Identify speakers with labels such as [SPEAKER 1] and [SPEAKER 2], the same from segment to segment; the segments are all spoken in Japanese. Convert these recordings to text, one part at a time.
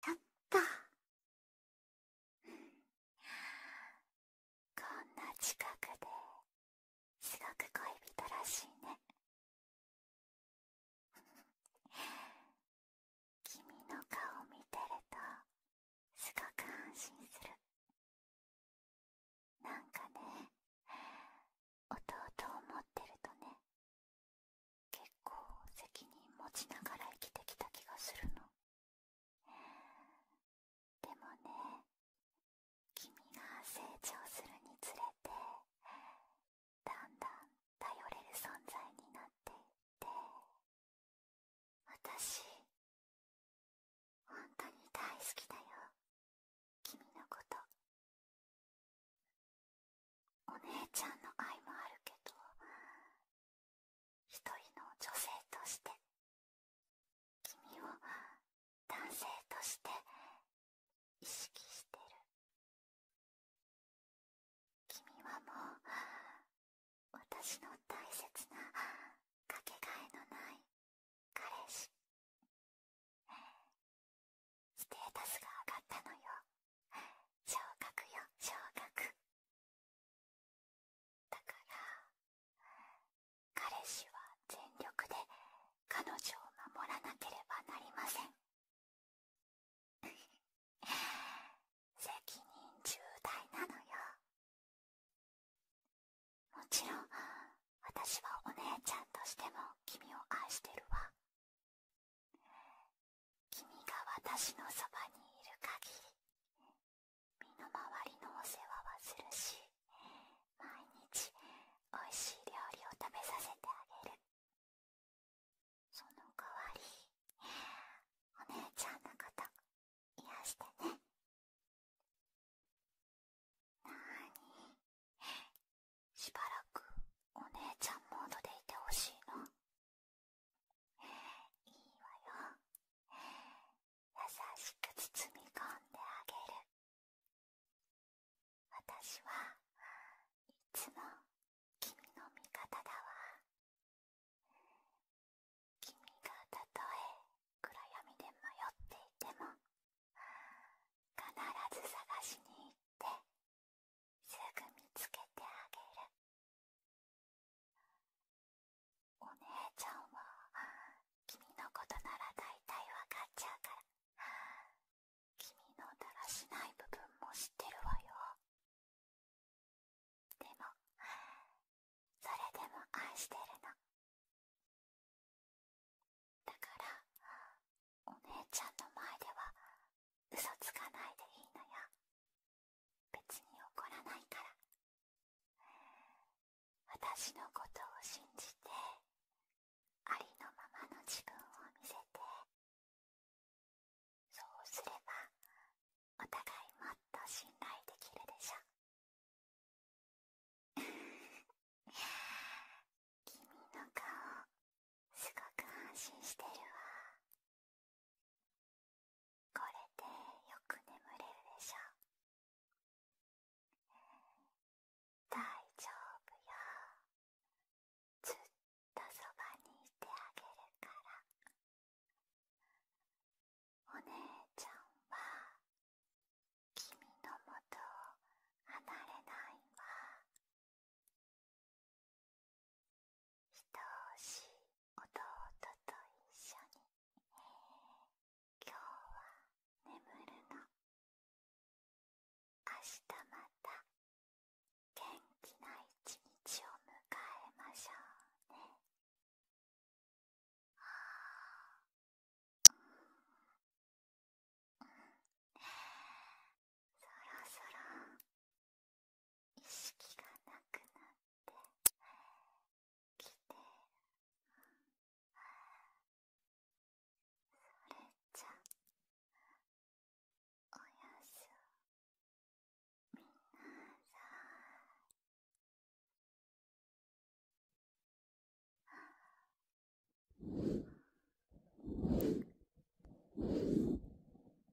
[SPEAKER 1] たったこんな近くですごく恋人らしいね君の顔を見てるとすごく安心するなんかね弟を持ってるとね結構責任持ちながら生きてきた気がするのでもね君が成長するにつれてだんだん頼れる存在になっていって私本当に大好きだよ君のことお姉ちゃんの愛もあるけど一人の女性として君を男性として意識してる君はもう私の大切なかけがえのない彼氏ステータスが上がったのよ昇格よ昇格だから彼氏は全力で彼女を守らなければなりません 責任重大なのよもちろん私はお姉ちゃんとしても君を愛してるわ君が私のそばにいる限り身の回りのお世話はするし毎日おいしい料理を食べさせてあげるその代わりお姉ちゃんのこと癒してねなーにしばらくお姉ちゃんモードでいてほしいのいいわよ優しく包み込んであげる私はいつも君の味方だわ君がたとえ暗闇で迷っていても必ず探しに行ってすぐ見つけてあげるお姉ちゃんは君のことなら大体わかっちゃうから君のだらしない部分も知ってるわよでもそれでも愛してるのだからお姉ちゃんの前では嘘つかないでいいのよ別に怒らないから私のことを信じてありのままの自分を見せてそうすればお互いもっと信頼できるでしょ 君の顔すごく安心してるわこれでよく眠れるでしょ大丈夫よずっとそばにいてあげるからお姉ちゃんは君のもとを離れないわ愛しい弟と一緒に今日は眠るの明日また元気な一日を迎えましょうねうんうそろそろ意識がなくなってきてるそれじゃおやすみなさい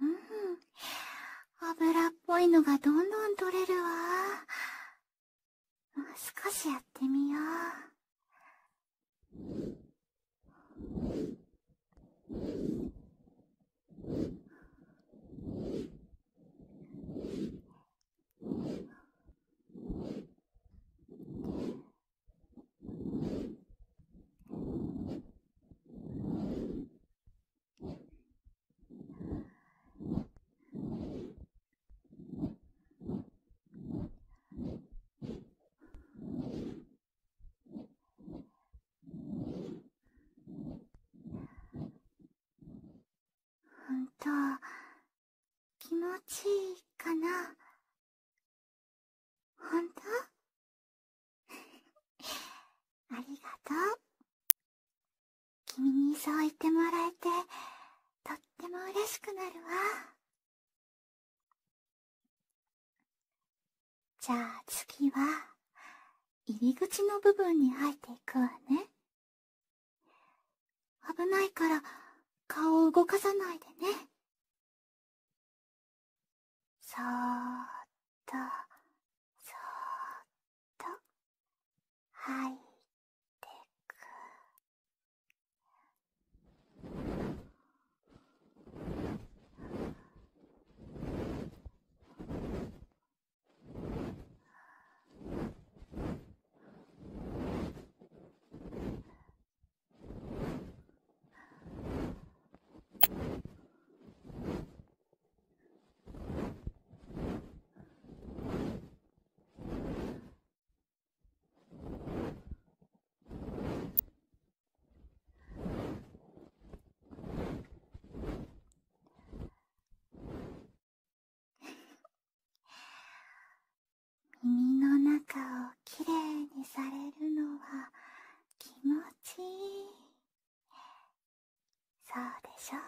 [SPEAKER 1] うん。
[SPEAKER 2] 油っぽいのがどんどん取れるわ。もう少しやってみよう。
[SPEAKER 1] ほんと気持ちいいかなほんとありがとう。君
[SPEAKER 2] にそう言ってもらえて、とっても嬉しくなるわ。じゃあ次は、入り口の部分に入っていくわね。危ないから、顔を動かさないでね。
[SPEAKER 1] そーっとそーっとはいってく 耳の中をきれいにされるのは気持ちいいそうでしょ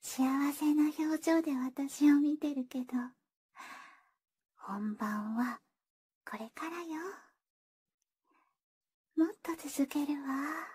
[SPEAKER 2] 幸せな表情で私を見てるけど本番はこれからよもっと
[SPEAKER 1] 続けるわ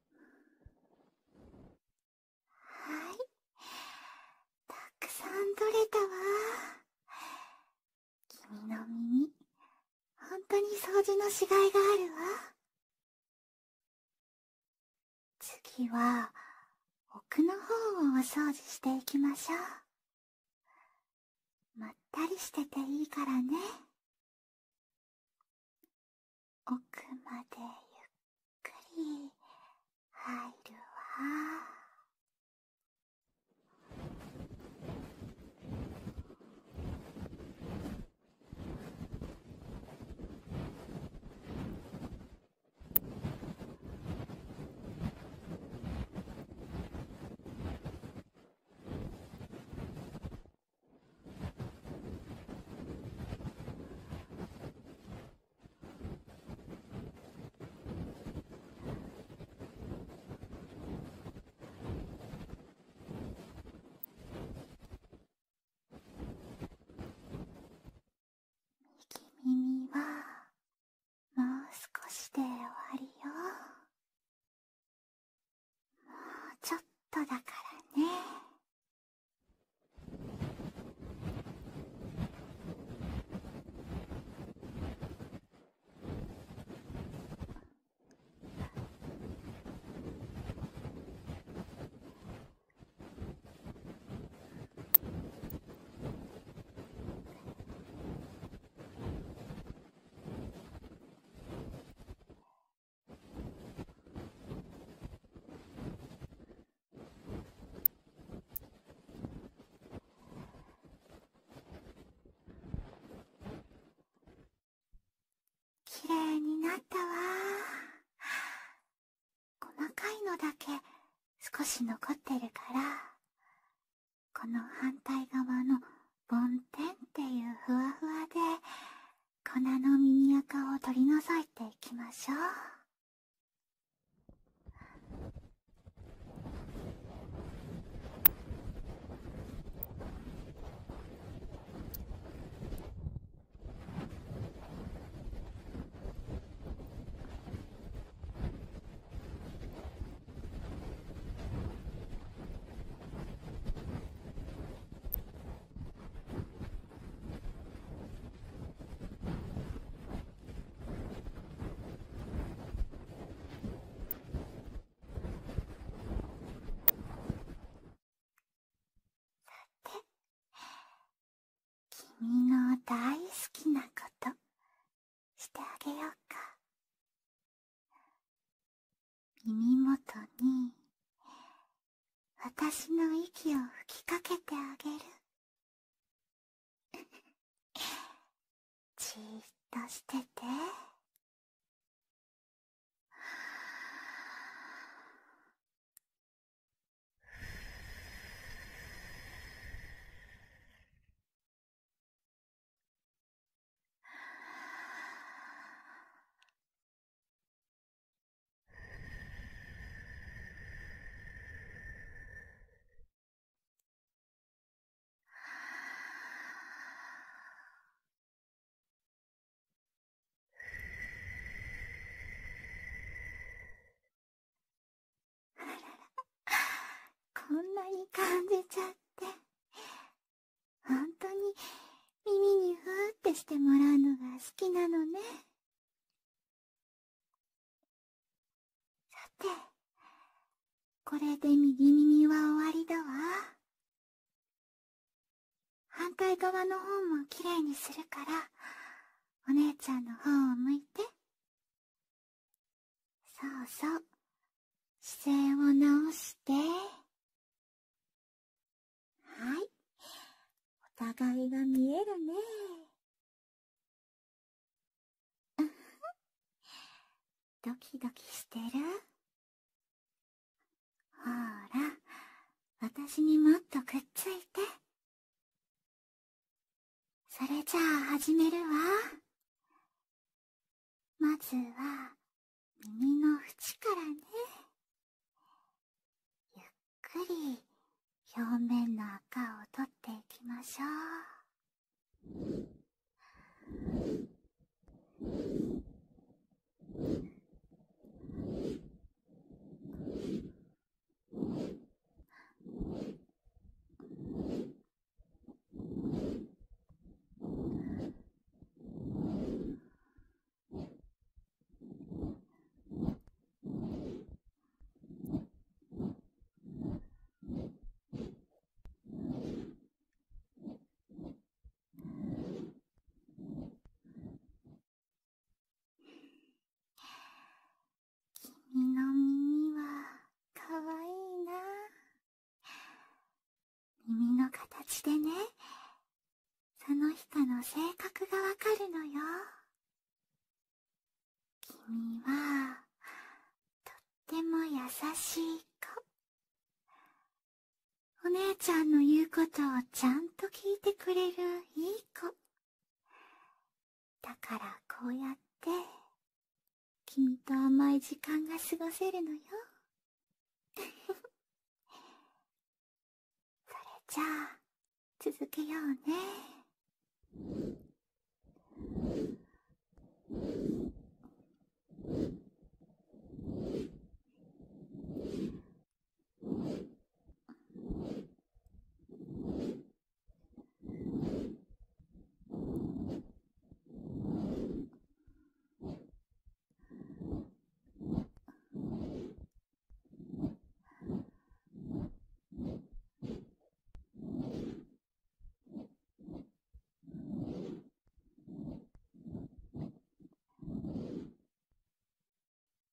[SPEAKER 2] はいたくさん取れたわ君の耳んとに掃除のしがいがあるわ次は奥の方をお掃除していきましょ
[SPEAKER 1] うまったりしてていいからね奥までゆっくり入るわ。右耳はもう少しで終わりよもうちょっとだからね
[SPEAKER 2] きれいになったわ細かいのだけ少し残ってるからこの反対側の梵天っていうふわふわで粉の耳垢を取り除いていきましょう
[SPEAKER 1] さて、君の大好きなことしてあげようか耳元に私の息を吹きかけてあげる じーっとしててあらら、
[SPEAKER 2] こんなに感じちゃってほんとに耳にふーってしてもらうのが好きなの
[SPEAKER 1] ね。さて、これで右耳は終わりだわ。
[SPEAKER 2] 反対側の方もきれいにするから、お姉ちゃんの方を向いて。そうそう。姿勢を直して。はい。お互いが見えるね。ドキドキしてるほら、私にもっとくっついて。それじゃあ始めるわ。まずは、耳の縁からねゆっくり表面の赤を取っていきましょう。君 の耳はかわいいな耳の形でね、その人の性格がわかるのよ。君は、とっても優しい子。お姉ちゃんの言うことをちゃんと聞いてくれるいい子。だからこうやって、君と甘い時間が過ごせるのよ。それじゃあ、続けようね。んっ、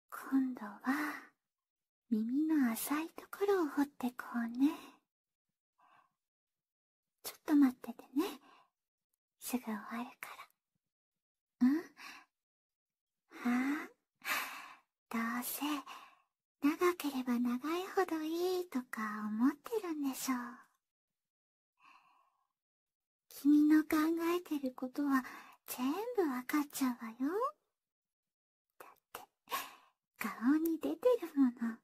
[SPEAKER 2] 今度は耳の浅いところを掘ってこうねちょっと待っててねすぐ終わるからうんああ、どうせ、長ければ長いほどいいとか思ってるんでしょう。君の考えてることは全部わかっちゃうわよ。だって、顔に出てるもの。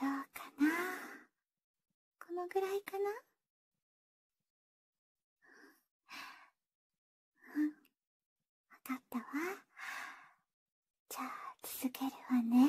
[SPEAKER 1] どうかなこのぐらいかなうん、わかったわ。
[SPEAKER 2] じゃあ、続けるわね。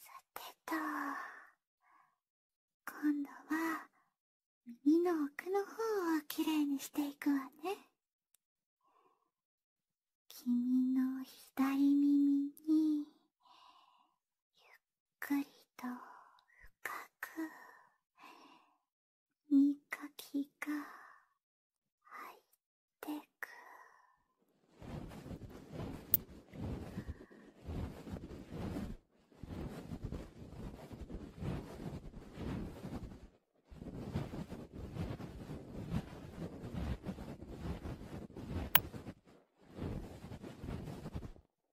[SPEAKER 2] さてと今度は耳の奥の方をきれにしていくわね君の左耳にゆっくりと深くみかきが入ってく
[SPEAKER 1] ど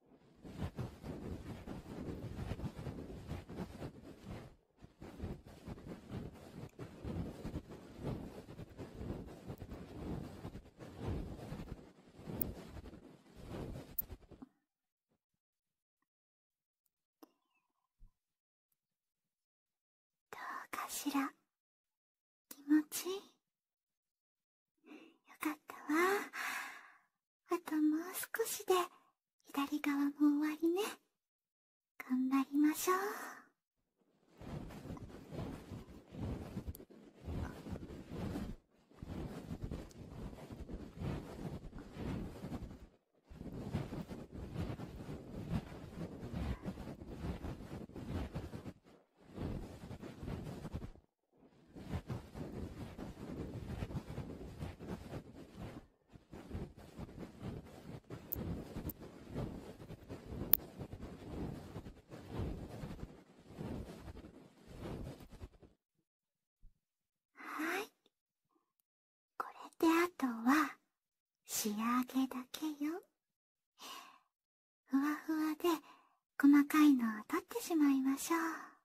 [SPEAKER 1] うかしら気持ちいいよかったわあ
[SPEAKER 2] ともう少しで、左側も終わりね。頑張りましょう。はいこれであとは仕上げだけよふわふわで細かいのを取ってしまいましょう。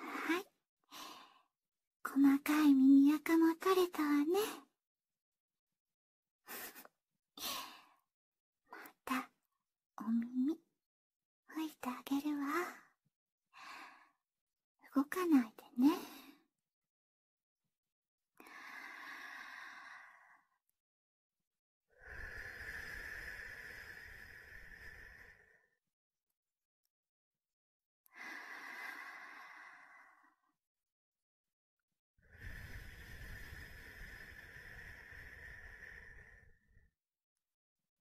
[SPEAKER 2] はい細かい耳垢も取れたわねまたお耳拭いてあげるわ動かないでね。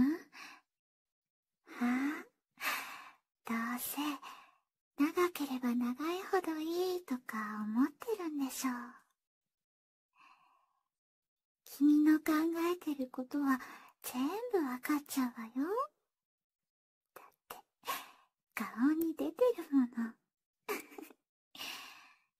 [SPEAKER 1] んはあ、どうせ、長
[SPEAKER 2] ければ長いほどいいとか思ってるんでしょう。君の考えてることは全部わかっちゃうわよ。だって、顔に出てるもの。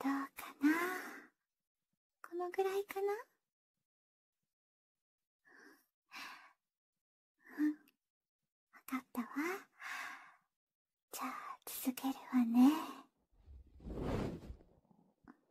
[SPEAKER 1] どうかなこのぐらいかなうわかったわ
[SPEAKER 2] じゃあ続けるわね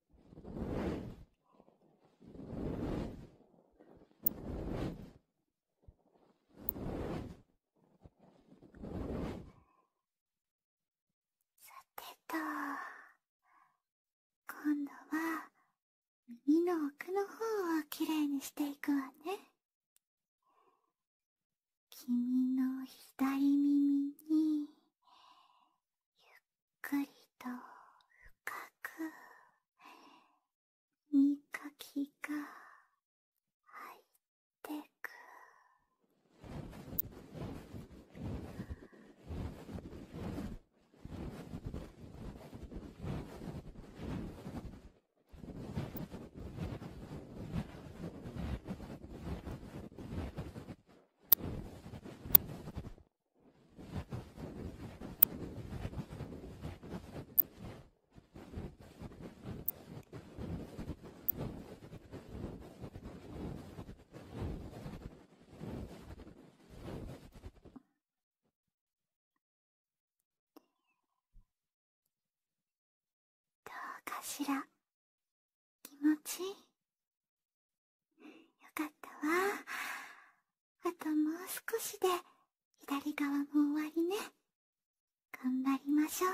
[SPEAKER 1] さてと今度は
[SPEAKER 2] 耳の奥の方をきれにしていくわね君の左耳にゆっくりと深くみかきが入ってくど
[SPEAKER 1] うかしら気持ちいいよかったわ
[SPEAKER 2] あともう少しで左側も終わりね頑張りましょう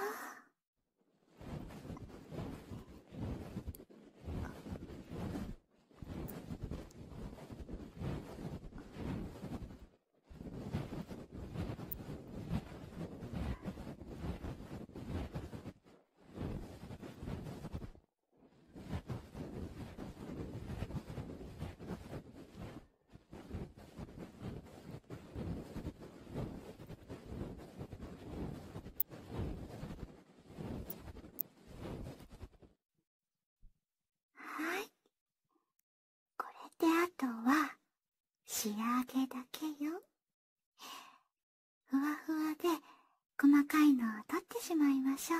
[SPEAKER 2] はいこれであとは仕上げだけよふわふわで細かいのを取ってしまいましょう。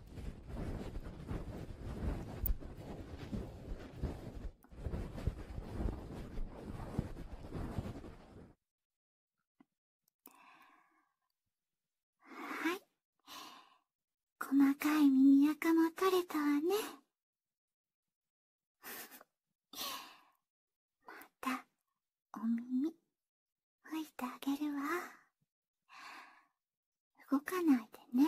[SPEAKER 2] はい細かい耳垢も取れたわね またお耳吹いてあげるわ。動かないでね。は